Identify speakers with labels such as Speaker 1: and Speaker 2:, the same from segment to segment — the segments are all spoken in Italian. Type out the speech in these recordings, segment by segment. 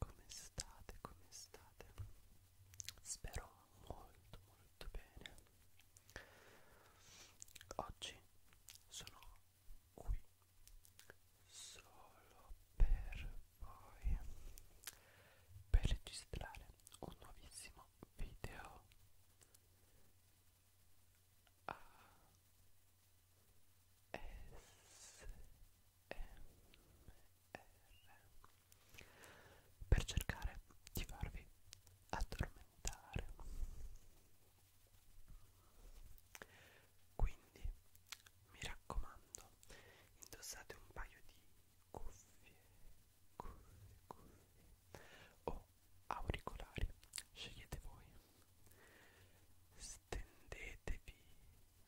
Speaker 1: Come state? Come state? Spero molto molto bene. Oggi sono qui solo per voi per registrare un nuovissimo video ah, per cercare di farvi addormentare quindi mi raccomando indossate un paio di cuffie cuffie cuffie o auricolari scegliete voi Stendetevi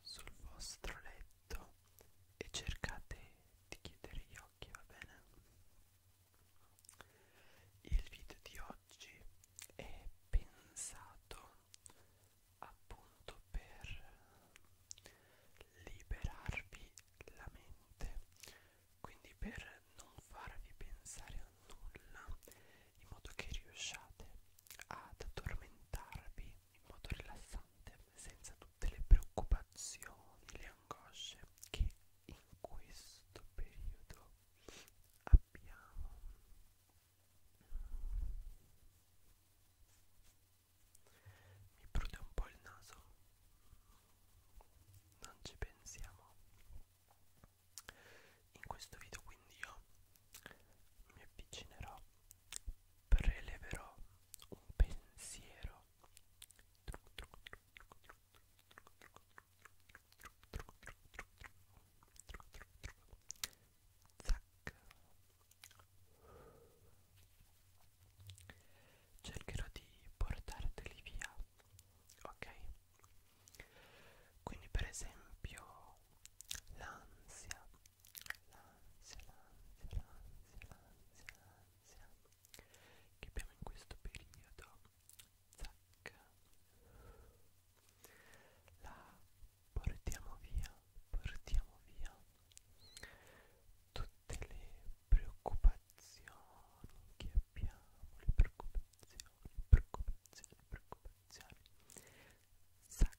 Speaker 1: sul vostro letto e cercate di chiudere gli occhi, va bene? Il video di oggi è pensato appunto per liberarvi la mente, quindi per non farvi pensare a nulla in modo che riusciate ad addormentarvi in modo rilassante senza tutte le preoccupazioni, le angosce che in questo periodo abbiamo. Mi prude un po' il naso, non ci pensiamo. In questo video quindi io mi avvicinerò, preleverò un pensiero Zac. cercherò di portarteli via ok quindi per esempio l'ansia l'ansia, l'ansia, l'ansia, l'ansia, l'ansia che abbiamo in questo periodo, zac, la portiamo via, portiamo via tutte le preoccupazioni che abbiamo, le preoccupazioni, preoccupazioni, preoccupazioni, zac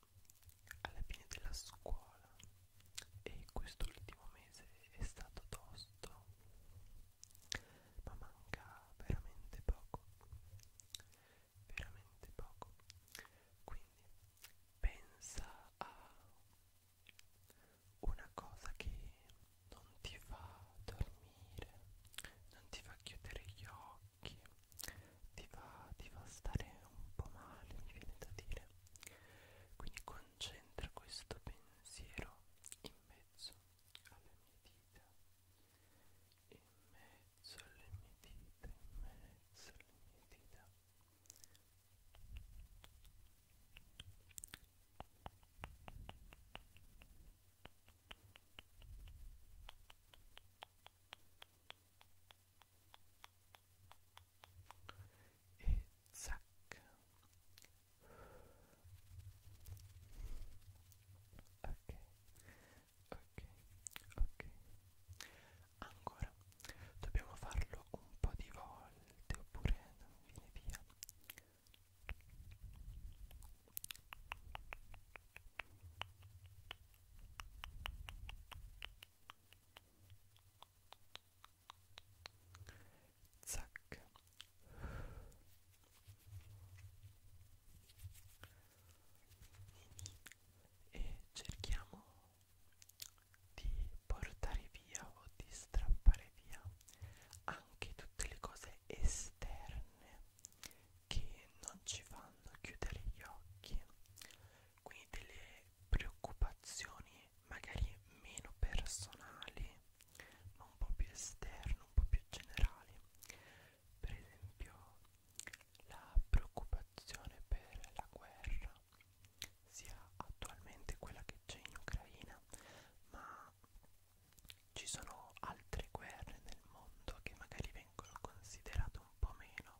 Speaker 1: alla fine della scuola e quest'ultimo mese è stato tosto ma manca veramente poco veramente poco quindi pensa a una cosa che non ti fa dormire non ti fa chiudere gli occhi ti fa, ti fa stare un po' male mi viene da dire quindi concentra questo pensiero in mezzo alle mie dita, in mezzo alle mie dita, in mezzo alle mie dita. Bene e zac ok ok ok ancora dobbiamo farlo un po' di volte oppure non viene via ok zac e cerchiamo di portare via o di strappare via anche tutte le cose esterne che non ci fanno chiudere gli occhi quindi delle preoccupazioni magari meno personali ma un po' più esterne, un po' più generali per esempio la preoccupazione per la guerra sia attualmente quella che c'è in Ucraina ma ci sono altre guerre nel mondo che magari vengono considerate un po' meno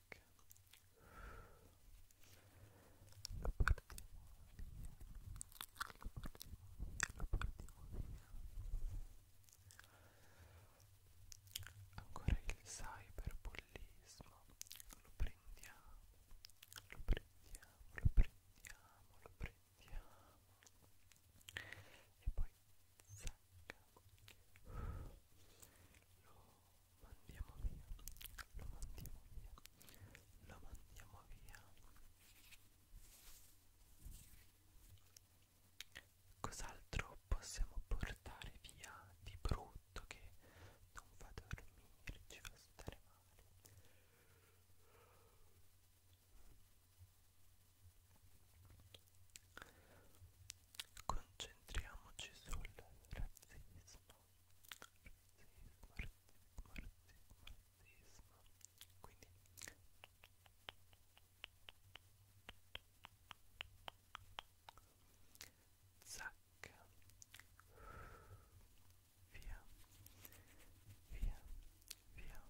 Speaker 1: Ancora il cyberbullismo. Lo prendiamo, lo prendiamo, lo prendiamo, lo prendiamo. E poi sacca. Lo mandiamo via, lo mandiamo via, lo mandiamo via. Cos'altro possiamo portare via di brutto che non fa dormire, ci fa stare male? Concentriamoci sul razzismo marxismo, quindi zac via via via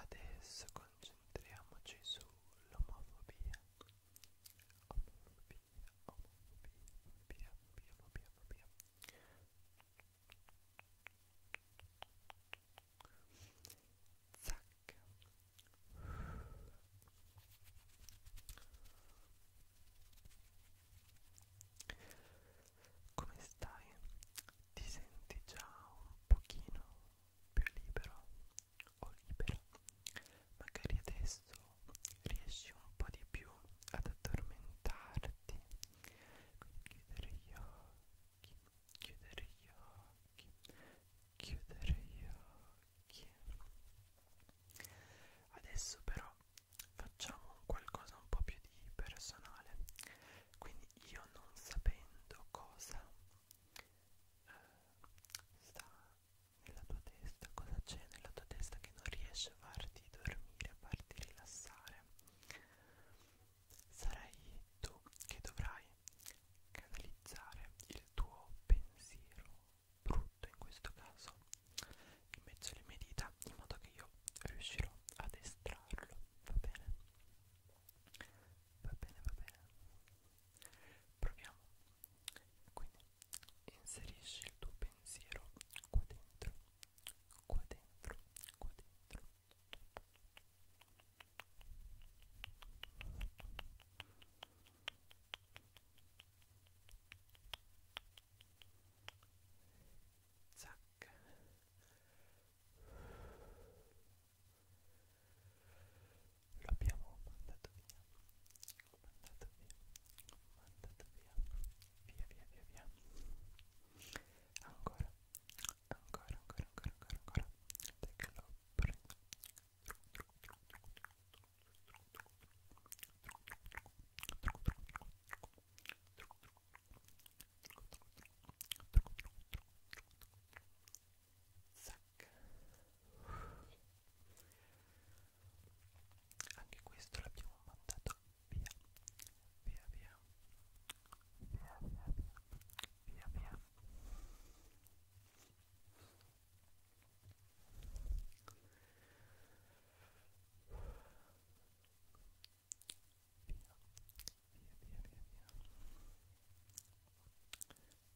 Speaker 1: adesso concentriamoci sull'omofobia omofobia via, piano piano via zac come stai? ti senti già un pochino più libero? o libera. Magari adesso riesci un po' di più ad addormentarti. Quindi chiudere gli occhi, chiudere gli occhi, chiudere gli occhi. Adesso però facciamo qualcosa un po' più di personale. Quindi io non sapendo cosa eh, sta nella tua testa, cosa c'è nella tua testa che non riesce a farti dormire, a farti rilassare. Sarai tu che dovrai canalizzare il tuo pensiero brutto in questo caso in mezzo alle mie dita in modo che io riuscirò ad estrarlo, va bene? Va bene, va bene. Proviamo. Quindi inserisci il tuo pensiero qua dentro, qua dentro, qua dentro. Zac. l'abbiamo mandato via, mandato via, mandato via, via via via via. Ancora, ancora, ancora, ancora, ancora, ancora. Perché l'ho anche questo l'abbiamo mandato via via via via via via via via Via, via, via, via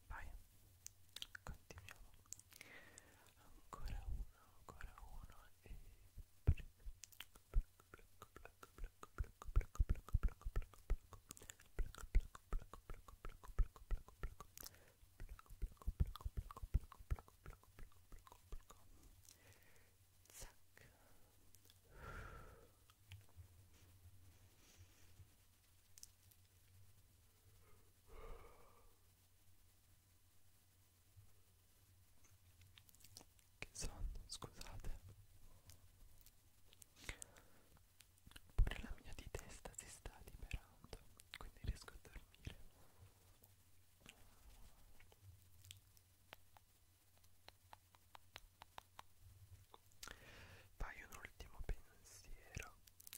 Speaker 1: vai continuiamo ancora uno ancora uno e Zac che sonno scusate pure la mia di testa si sta liberando quindi riesco a dormire fai un ultimo pensiero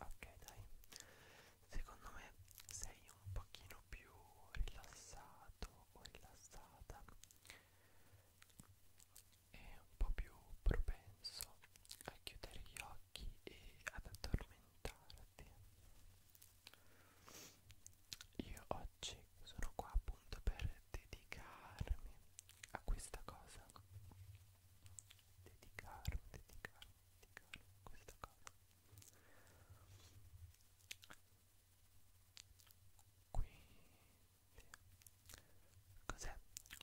Speaker 1: ok dai secondo me sei un pochino più rilassato o rilassata e un po' più propenso a chiudere gli occhi e ad addormentarti io oggi sono qua appunto per dedicarmi a questa cosa dedicarmi dedicarmi dedicarmi a questa cosa quindi, cos'è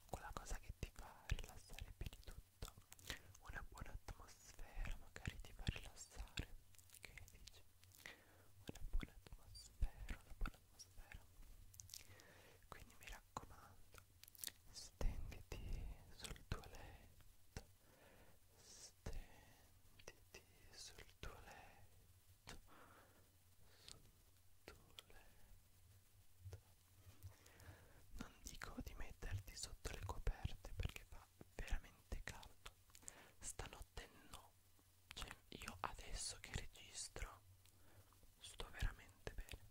Speaker 1: quella cosa che ti fa rilassare più di tutto? Una buona atmosfera magari ti fa rilassare, che dici? Una buona atmosfera, una buona atmosfera. Quindi mi raccomando, stenditi sul tuo letto, stenditi sul tuo letto, sul tuo letto. Non dico di metterti sotto le coperte perché fa veramente caldo. Stanotte no. Cioè, io adesso che registro sto veramente bene.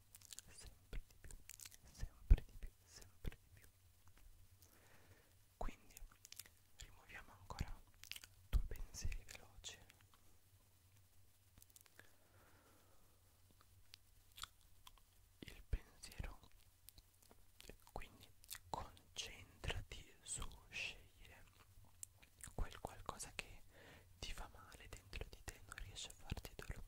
Speaker 1: sempre di più, sempre di più, sempre di più. Quindi rimuoviamo ancora due pensieri veloci. Il pensiero, quindi concentrati su scegliere quel qualcosa che ti fa male dentro di te, non riesce a farti dormire.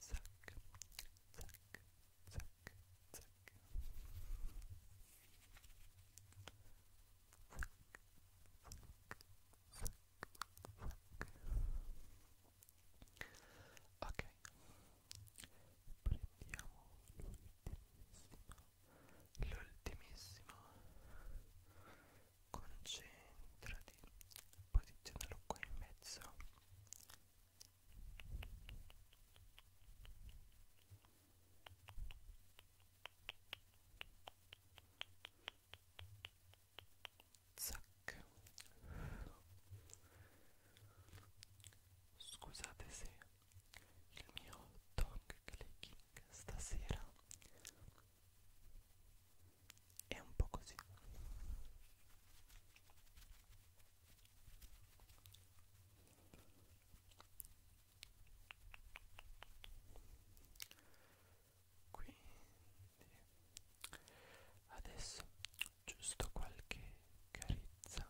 Speaker 1: zac, zac, zac, zac. Ok, prendiamo l'ultimissima, l'ultimissima, concentrati, posizionalo qua in mezzo Zac. Scusate se il mio tongue clicking stasera è un po' così quindi adesso giusto qualche carezza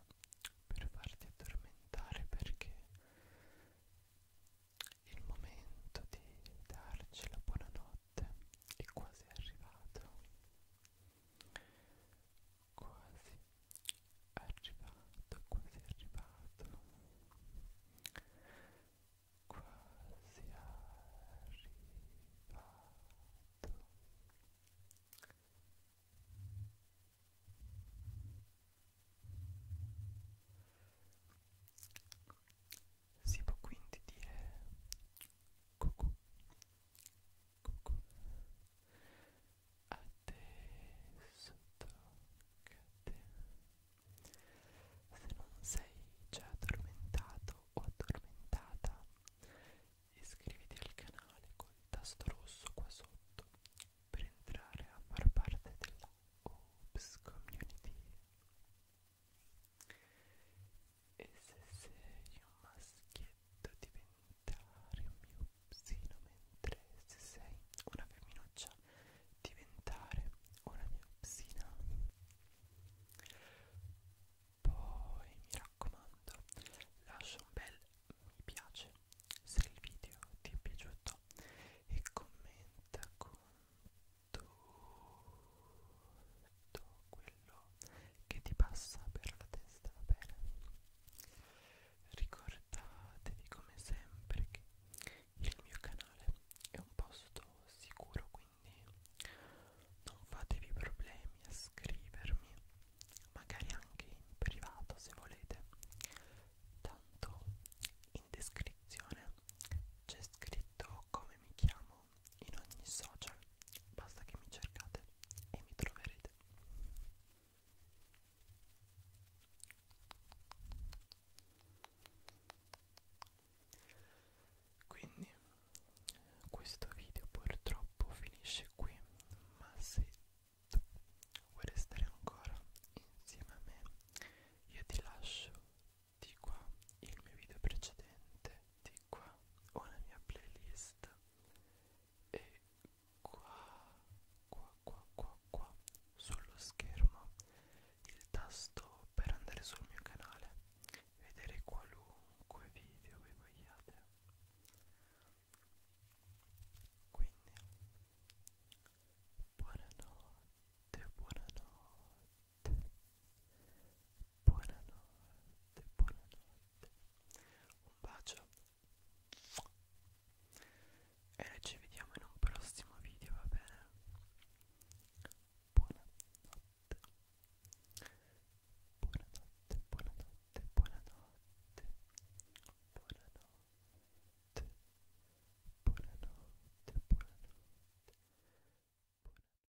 Speaker 1: per farti addormentare perché il momento di darci la buonanotte notte è quasi arrivato quasi arrivato quasi arrivato quasi arrivato Si può quindi dire cucù, cucù, a te sotto a te. Se non sei già addormentato o addormentata, iscriviti al canale col tasto rosso qua sotto per entrare a far parte della Oops Community e se sei un maschietto diventare un mio psino, mentre se sei una femminuccia diventare una mia psina. Poi mi raccomando, lascia un bel mi piace se il video ti è piaciuto e commenta con tu tutto quello che ti passa per la testa, va bene? Ricordatevi come sempre che il mio canale è un posto sicuro, quindi non fatevi problemi a scrivermi, magari anche in privato se volete. Tanto in descrizione c'è scritto come mi chiamo in ogni social, basta che mi cercate e mi troverete. Quindi questo video purtroppo finisce qui, ma se tu vuoi restare ancora insieme a me, io ti lascio di qua il mio video precedente, di qua una mia playlist e qua, qua, qua, qua, qua sullo schermo il tasto per andare sul mio canale vedere qualunque video voi vogliate quindi buonanotte buonanotte buonanotte, buonanotte. Un bacio e noi ci vediamo in un prossimo video, va bene? Buonanotte, buonanotte, buonanotte, buonanotte, buonanotte, buonanotte, buonanotte. buonanotte.